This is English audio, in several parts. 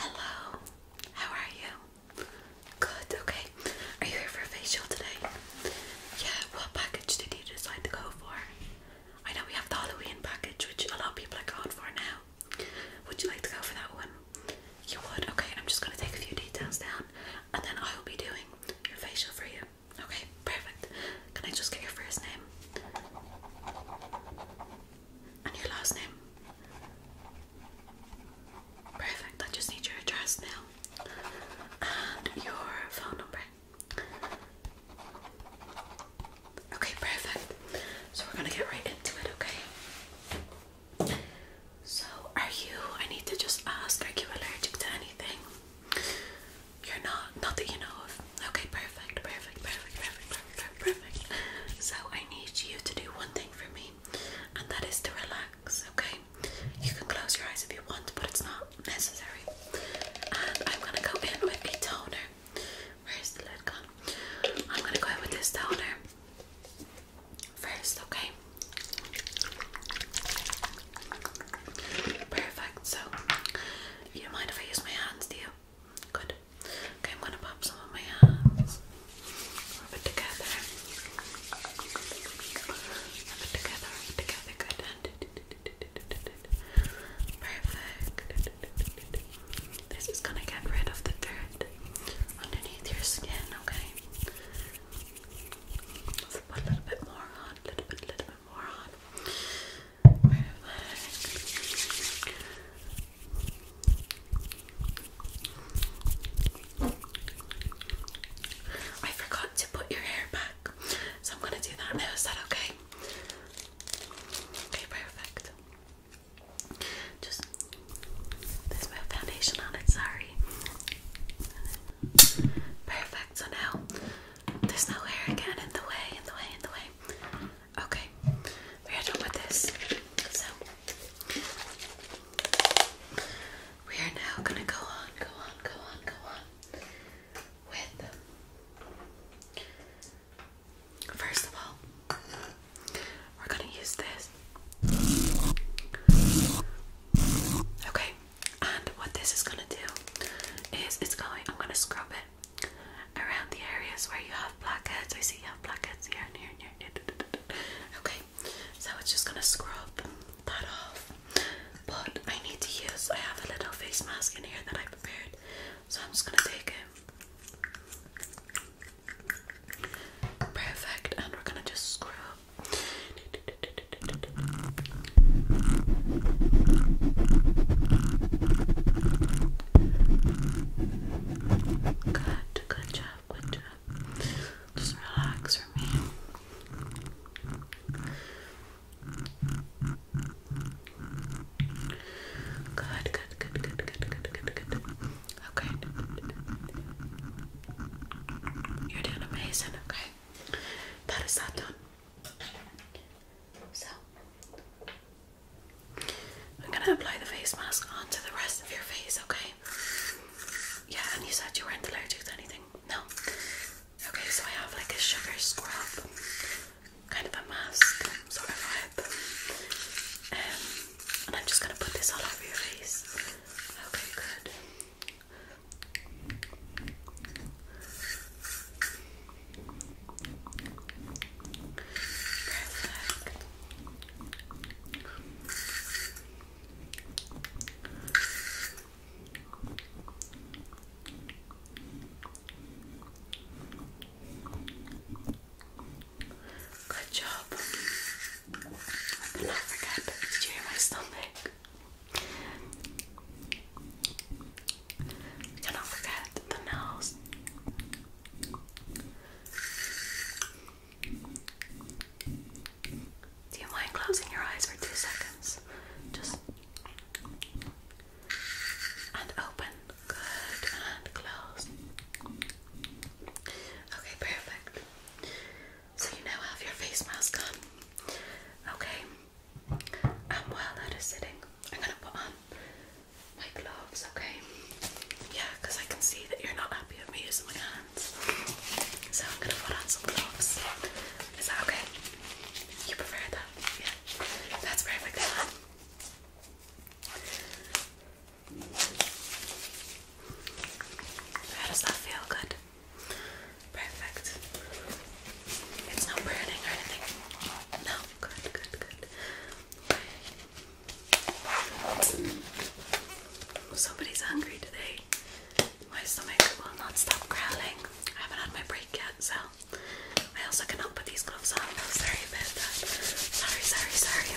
Hello, how are you? Good, okay. Are you here for a facial today? Yeah, what package did you decide to go for? I know we have the Halloween package, which a lot of people are going for now. Would you like to go for that one? You would? Okay, I'm just going to take a few details down and then I will be doing your facial for you. Okay, perfect. Can I just get your first name? And your last name? Perfect, I just need your address now. And your phone number. Okay, perfect. So we're gonna get right into it, okay? So, are you, I need to just ask, are you allergic to anything? You're not, not that you know of. Okay, perfect, perfect, perfect, perfect, perfect, Perfect. So I need you to do one thing for me, and that is to relax, okay? You can close your eyes if you want, but it's not necessary. I'm gonna go in with a toner. Where's the lid gone? I'm gonna go in with this toner first, okay? Perfect. So, you don't mind if I use my hands, do you? Good. Okay, I'm gonna pop some of my hands. Uh, rub it together. Rub it together, rub it together, good. perfect. This is gonna get rid of the dirt underneath your skin, okay? Let's put a little bit more on, a little bit, little bit more on. I forgot to put your hair back, so I'm gonna do that now. Is that okay? Okay, perfect. Just there's no foundation on it, sorry. Perfect, so now there's no hair again in the way, in the way, in the way. Okay, we are done with this. So we are now gonna go on, go on, go on, go on with first of all, we're gonna use this. Okay, and what this is gonna do is it's going, I'm gonna scrub it around the areas where you have blackheads. I see you have blackheads here and here and here. Okay, so it's just gonna scrub that off. But I need to use, I have a little face mask in here that I prepared, so I'm just gonna take it. Perfect, and we're gonna just scrub. Good, good job, good job. Just relax for me. Good, good, good, good, good, good, good, good. Okay. You're doing amazing, okay? That is that done. So I'm gonna apply the face mask onto the rest of your face, okay? Yeah, and you said you weren't allergic to anything? No. Okay, so I have like a sugar scrub, kind of a mask sort of vibe. Um, and I'm just gonna put this all over your face. Okay, good. Good job. Did you hear my stomach? Cannot forget the nose. Do you mind closing your eyes for two seconds? Just and open. Good and close. Okay, perfect. So you now have your face mask on. Okay, and while that is sitting, I'm gonna put on my gloves, okay? Yeah, I can see that you're not happy with me using my hands. So I'm gonna put on some gloves. Is that okay? You prefer that? Yeah. That's perfect. How does that feel? Good. Perfect. It's not burning or anything. No. Good, good, good. Okay. Somebody's hungry today. My stomach will not stop growling. I haven't had my break yet, so I also cannot put these gloves on. Oh, sorry about that. Sorry, sorry, sorry.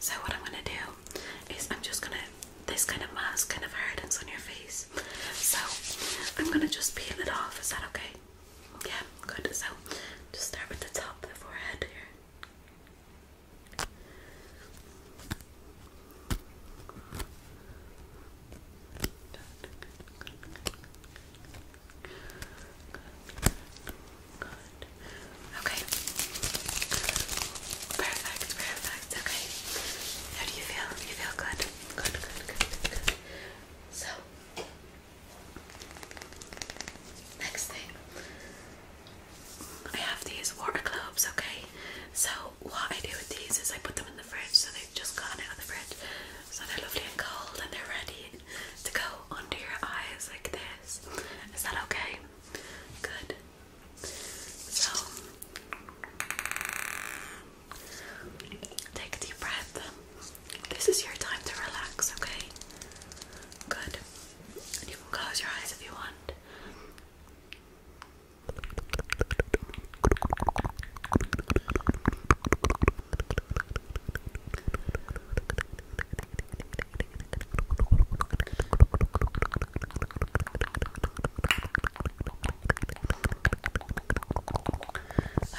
So what I'm gonna do is I'm just gonna this kind of mask kind of hardens on your face. So I'm gonna just peel it off. Is that okay? Yeah, good. So just start with the top the forehead here. Okay. Perfect, perfect. Okay. How do you feel? You feel good? Good, good, good, good. So, next thing, I have these water globes, okay? So, what I do with these is I put them in the fridge, so they've just gotten out of the fridge. So, they're lovely and cold and they're ready to go under your eyes like this. Is that okay? Good. So, Take a deep breath. This is your time to relax, okay? Good. And you can close your eyes if you want.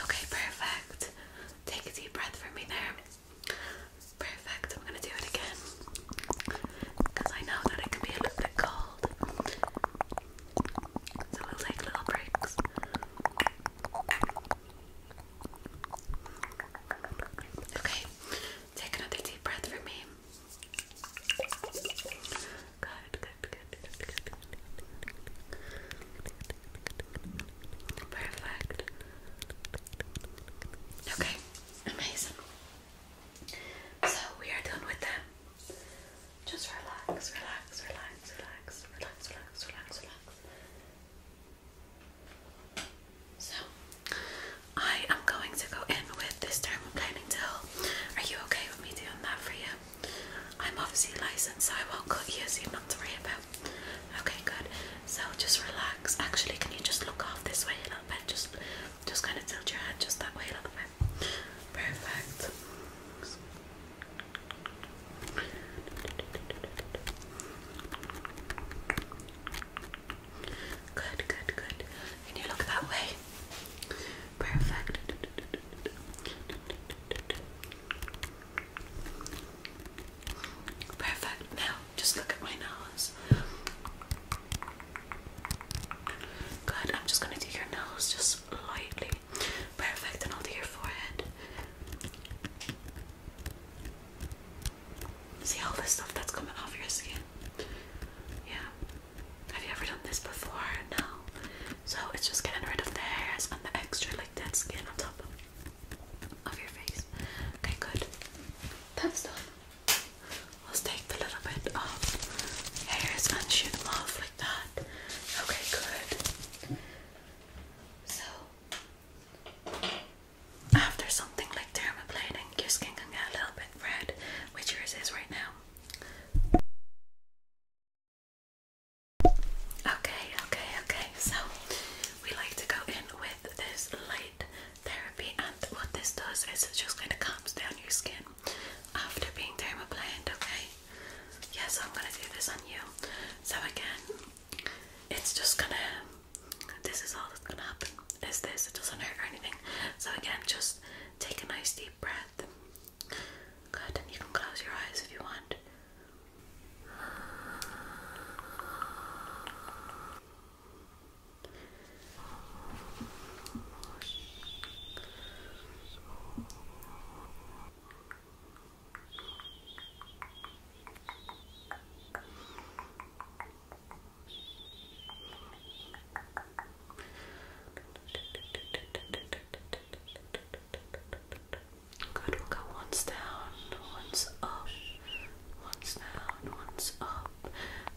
Okay, perfect. Take a deep breath for me there. Perfect. I'm gonna do it again I know that it can be a little bit cold. So we'll take little breaks. Okay, take another deep breath for me. Good, good, good, good, good, good. Perfect. Okay, amazing. So we are done with them. Just relax, relax, relax, relax, relax, relax, relax, relax. So, I am going to go in with this term I'm planning to. Are you okay with me doing that for you? I'm obviously licensed, so I won't cut you, so you're not to worry about. Okay, good. So just relax. Actually, can you just look off this way a little bit? Just, just kind of tilt your head just that way a little bit. Perfect. Good, good, good. Can you look that way? Perfect. Perfect. Now, just look at my nose. Good. I'm just going to do your nose just lightly. Perfect. And I'll do your forehead. See all this stuff that's coming off your skin? Yeah. Have you ever done this before? No. So it's just getting rid of the hairs and the extra like dead skin on top of your face. Okay, good. That's Let's take the little bit of hairs and shoot them off like that. Okay, good. So after something like dermaplaning, your skin can get a little bit red, which yours is right now. Okay, okay, okay. So we like to go in with this light therapy, and what this does is it just kind of calms down your skin after being dermablind. Okay. Yeah, I'm gonna do this on you. So again, it's just gonna. This is all that's gonna happen. Is this? It doesn't hurt or anything. So again, just take a nice deep breath. Good, and you can close your eyes if you want. Good, go once down, once up, once down, once up,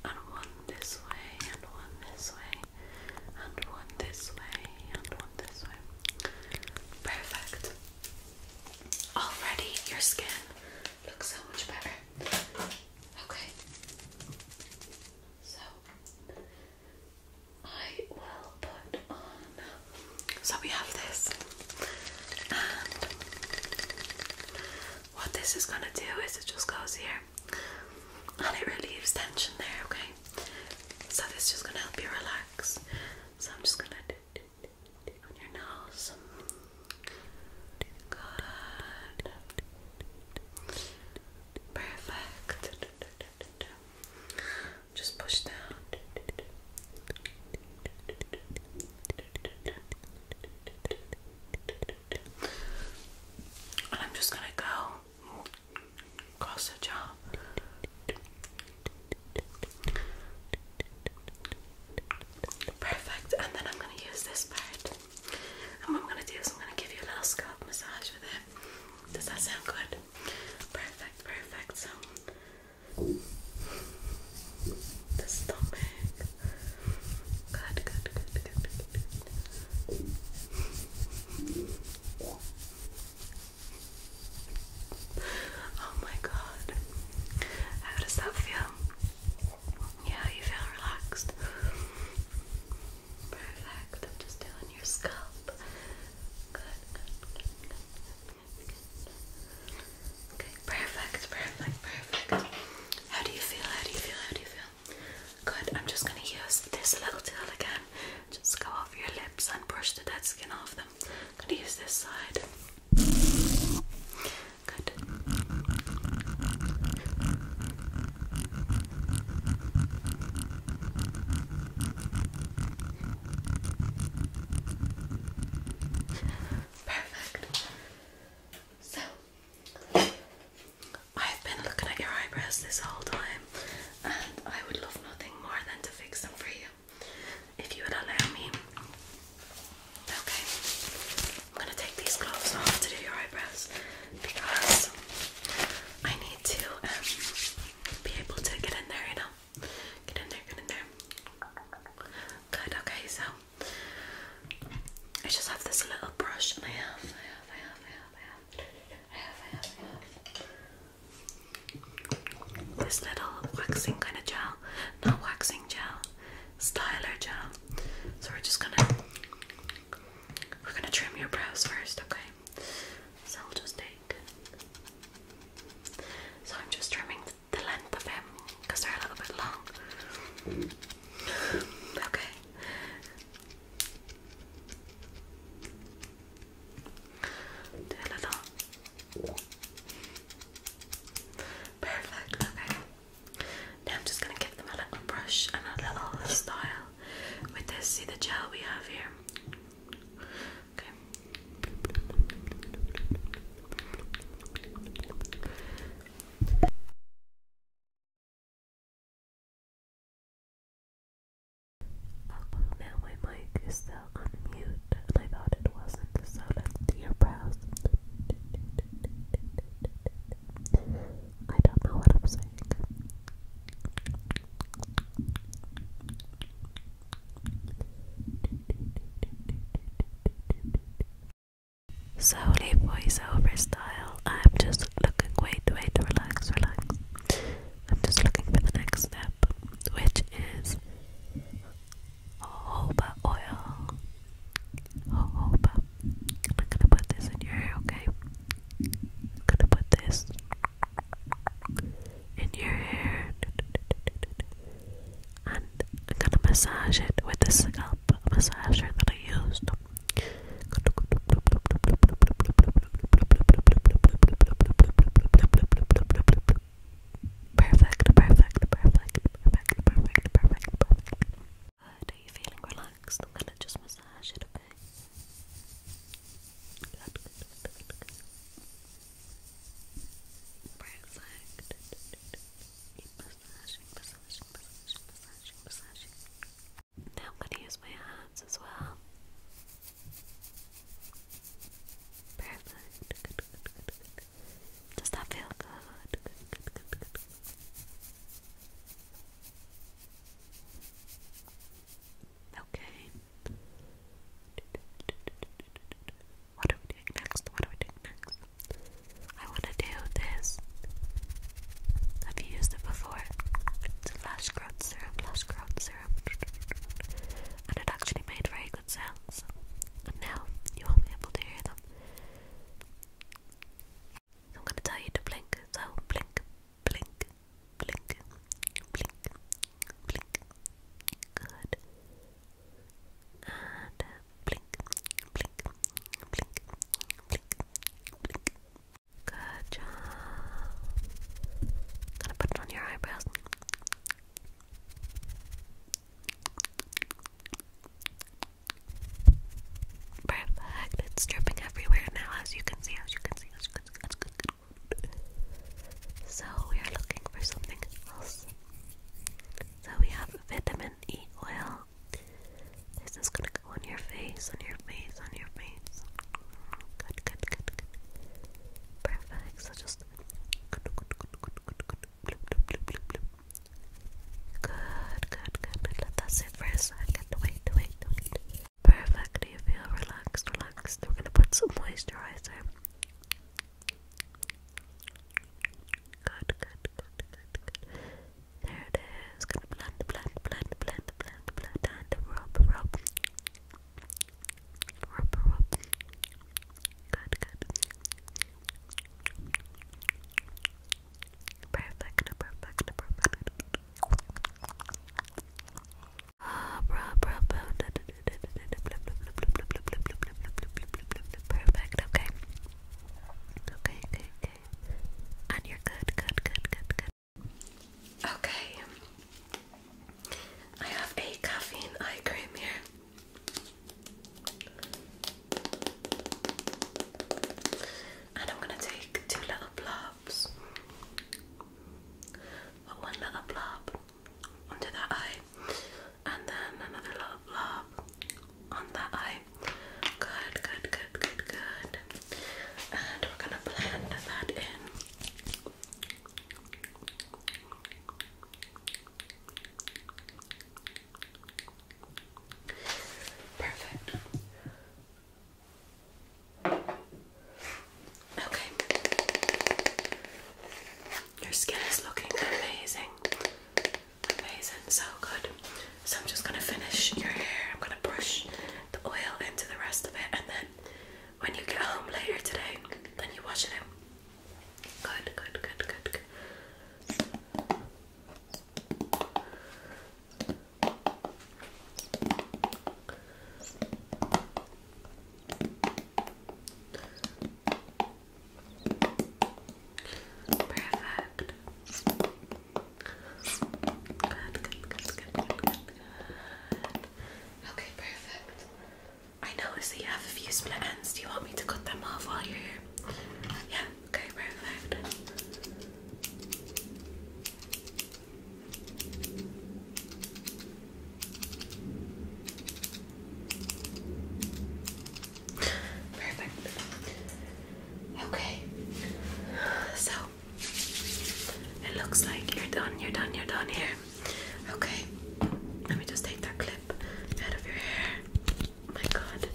and one this way, and one this way, and one this way, and one this way. Perfect. Already your skin looks so much better. Okay. So so we have this, what this is gonna do is it just goes here, and it relieves tension there. Okay, so this is just gonna help you relax. So I'm just gonna do, do, on your nose. Good. Perfect. Just push down. I'm just gonna go across the jaw. Perfect, and then I'm gonna use this part. And what I'm going to do is I'm going to give you a little scalp massage with it. Does that sound good? Perfect, perfect. So, the stomach. Good, good, good, good, good, Oh my god. How does that feel? Yeah, you feel relaxed. Perfect. I'm just doing your scalp. Good, Okay, perfect, perfect, perfect. How do you feel? How do you feel? How do you feel? Good. I'm just gonna use this little tool again. Just go over your lips and brush the dead skin off them. I'm gonna use this side. Good. Perfect. So, I've been looking at your eyebrows this whole time, and I would love nothing more than to fix them for you if you would allow me. Okay. I'm gonna take these gloves off to do your eyebrows because I need to um, be able to get in there, you know. Get in there, get in there. Good, okay, so I just have this little brush and I have, I have, I have, I have, I have, I have, I have, I have. This little waxing kind of gel, not waxing gel, styler gel. So we're just gonna we're gonna trim your brows first, okay? So I'll just take. So I'm just trimming the length of them because they're a little bit long. Okay. Do a little. Perfect. Okay. Now I'm just going to give them a little brush and a little style with this. See the gel we have here? Okay. now my mic is still on and I thought it wasn't, so let's do your brows. I am voiceover style. I'm just looking. Wait, wait, relax, relax. I'm just looking for the next step, which is jojoba oil. Oh, oh, I'm gonna put this in your hair, okay? gonna put this in your hair. And I'm gonna massage it with the scalp massager that I used. Perfect, perfect, perfect, perfect, perfect, perfect, perfect. Are uh, you feeling relaxed? I'm gonna just massage it, okay? Good, good, good, good, massaging, massaging, massaging, massaging, massaging. Now I'm gonna use my hands as well. Perfect. Good, Does that feel good. Okay. What are we doing next? What are we doing next? I want to do this. Have you used it before? It's a lash growth serum, lash growth serum. And it actually made very good sounds. And now you won't be able to hear them. I'm gonna tell you to blink, so blink, blink, blink, blink, blink. Good. And blink, blink, blink, blink, blink. Good job. gonna put it on your eyebrows. Perfect. It's dripping everywhere now, as you can see, as you can see, as you can see. So we are looking for something else. So we have vitamin E oil. This is gonna go on your face, on your face, on your face. Good, good, good, good. Perfect. So just Good, good, good, good. Let that sit for a second. Wait, wait, wait. Perfect. Do you feel relaxed? Relaxed. We're gonna put some moisturizer. Good, good, good, good, good. There it is. Gonna blend, blend, blend, blend, blend, blend, and rub, rub. Rub, rub. Good, good. Perfect, okay. Okay, okay, And you're good, good, good, good. Okay. I have a caffeine eye cream here. And I'm going to take two little blobs. Put one little blob onto that eye, and then another little blob on that eye. Good, good, good, good, good. And we're going to blend that in. Perfect. Okay. Your skin is looking amazing. Amazing, so good. So I'm just gonna finish your hair. I'm gonna brush the oil into the rest of it and then when you get home later today, then you wash it out. Good, good, good, good, good. Perfect. Okay, perfect. I noticed that you have a few split ends. Do you want me to cut them off while you're here? Yeah, Okay, perfect. Perfect. Okay. So it looks like you're done, you're done, you're done here. Okay. Let me just take that clip out of your hair my god.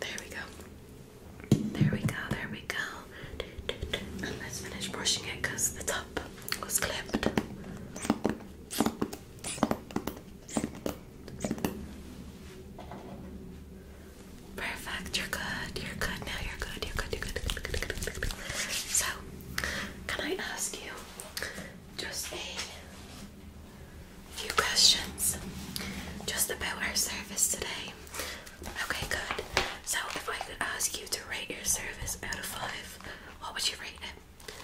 There we go. There we go, there we go. let's finish brushing it because the top was clipped. Perfect, you're good, you're good now, you're good, you're good, you're good. So, can I ask you just a a few questions just about our service today. Okay, good. So, if I could ask you to rate your service out of five, what would you rate it?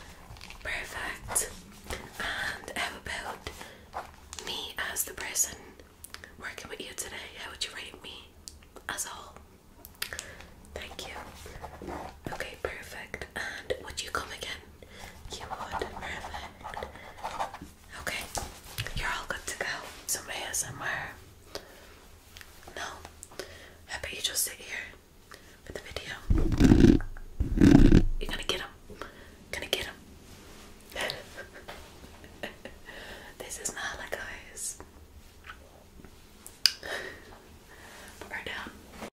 Perfect. And how about me as the person working with you today? How would you rate me as a whole? Thank you. Okay, perfect. And would you come again? You would. Okay. You're all good to go. Somebody has somewhere. No. How about you just sit here for the video? You're gonna get him. Gonna get him. this is not like We're down.